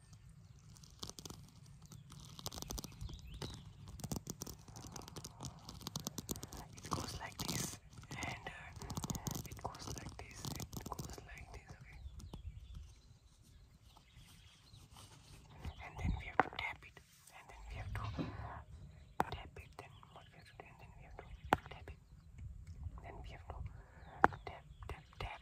it goes like this, and uh, it goes like this, it goes like this, okay? And then we have to tap it, and then we have to tap it, then we have to and then we have to tap it, then we have to tap, tap, tap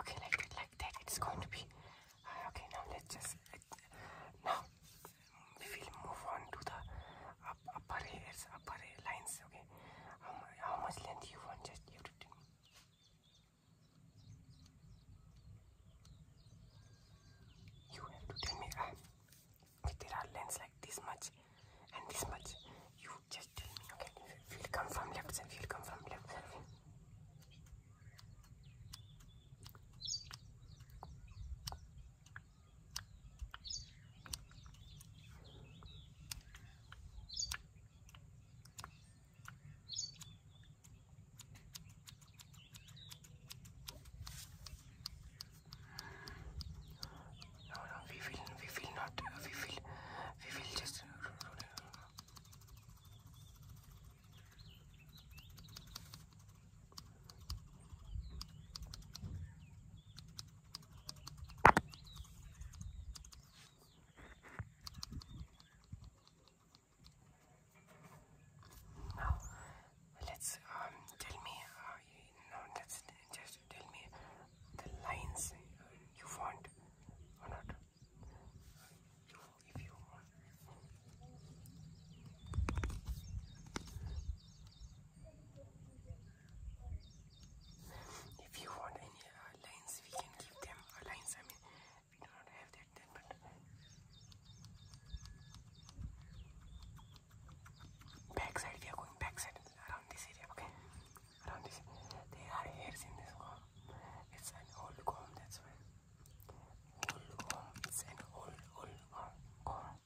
Okay, like that, like that. It's going to be uh, okay. Now let's just now we will move on to the upper hairs, upper lines. Okay, how much length you want? Just you have to tell me. You have to tell me. Uh, there are lengths like this much and this much. You just tell me, okay? We'll come from left side, we'll come from left no, no, we will, we will not, we will, we will just. Uh, let's um, tell me. Uh, yeah, that's just tell me the lines you want or not. if you If you want any uh, lines, we can give them uh, lines. I mean, we do not have that then, but back we are going back around this area, okay? Around this. There are hairs in this comb. It's an old comb, that's why. Old comb. It's an old, old comb.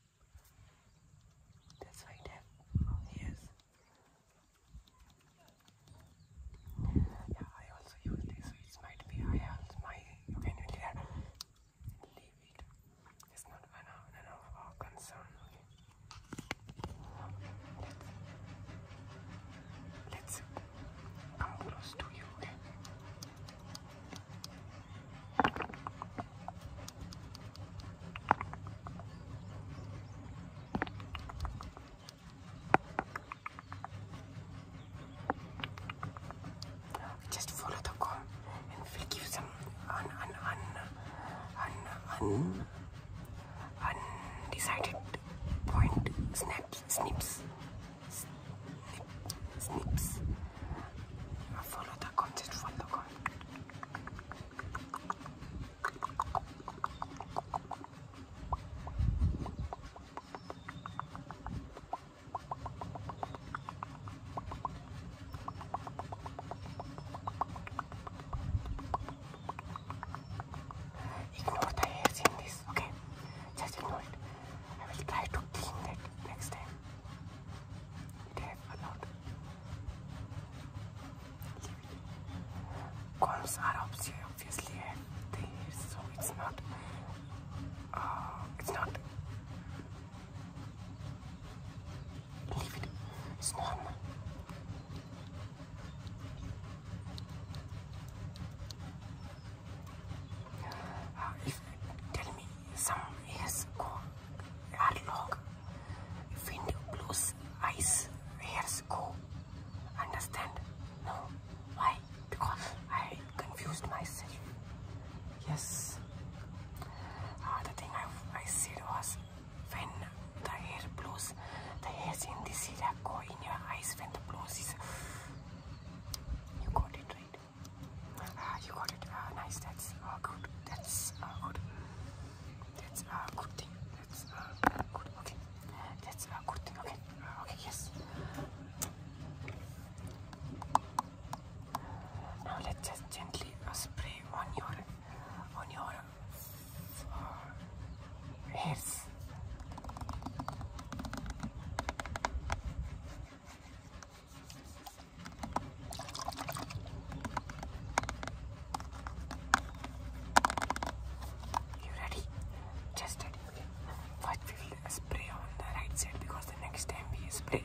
That's why it has hairs. Yeah, I also use this, so it might be I have my. You can use David not an, an of our concern. let's, let come close to you. Okay? just follow the comb and we'll give some un, un, un, un, un, undecided point snaps, snips, snip, snips. Follow the comb, just follow the comb. Ignore the hairs in this, okay? Just ignore it. I will try to clean that next time. It has a Combs are obviously have the so it's not. Uh, it's not if tell me some hairs go are long, wind blows, ice hairs go. Understand? No. Why? Because I confused myself. Yes. Another ah, thing I, I said was when the hair blows, the hairs in this area go in your eyes when the blows is. You got it right. Uh, you got it. Uh, nice. That's uh, good. That's uh, good. That's a uh, good thing. That's uh, good. Okay. That's a uh, good thing. Okay. Uh, okay. Yes. Now let's just gently uh, spray on your on your uh, hairs. You ready? Just ready. First we will spray on the right side because the next time we spray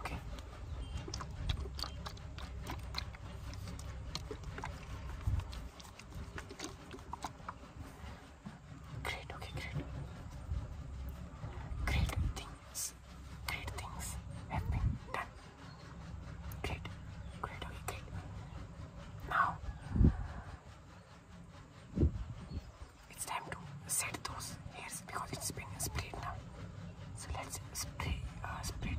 Okay. Great, okay, great. Great things. Great things have been done. Great. Great, okay, great. Now it's time to set those hairs because it's been sprayed now so let's spread, uh, spread.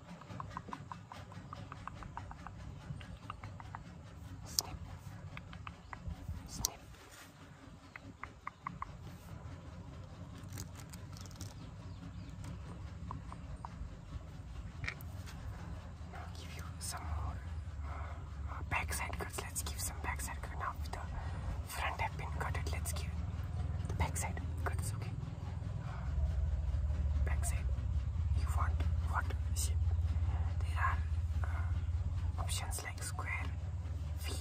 Snip. Snip. Now give you some more uh, backside cuts. Let's give some backside cuts. Now with the front have been cut it. Let's give the backside cuts. Okay backside you want what shape there are uh, options like square V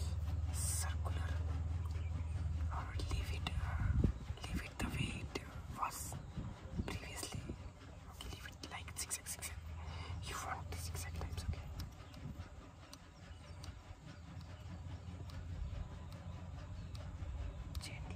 circular or leave it uh, leave it the way it was previously okay leave it like zigzag you want the zigzag types okay Gently.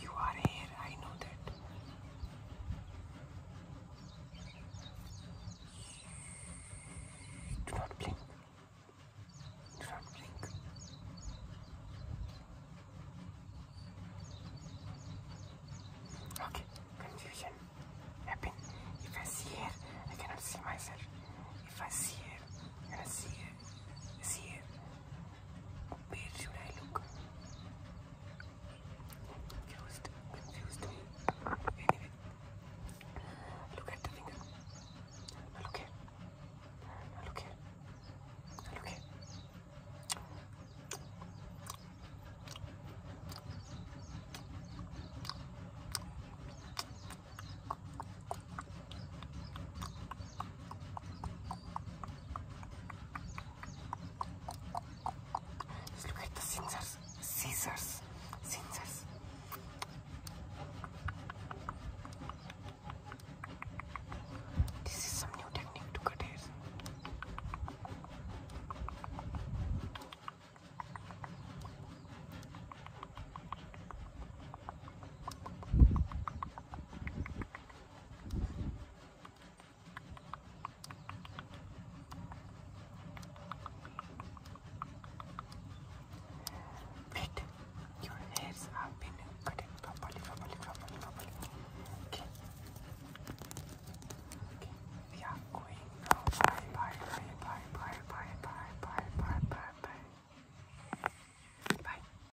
You are here, I know that. Do not blink. Do not blink. Okay, confusion happen. If I see here, I cannot see myself. If I see here, I see here. See here, where should I look? Confused, confused me. Anyway, look at the finger. Now look here. Now look here. Now look here. Now look at the scissors, scissors, scissors. This is some new technique to cut hair. Wait, your hairs have been cutting properly, properly, properly, properly. Okay. Okay, Bye, bye, bye, bye, bye, bye, bye, bye, bye, bye, bye. Bye.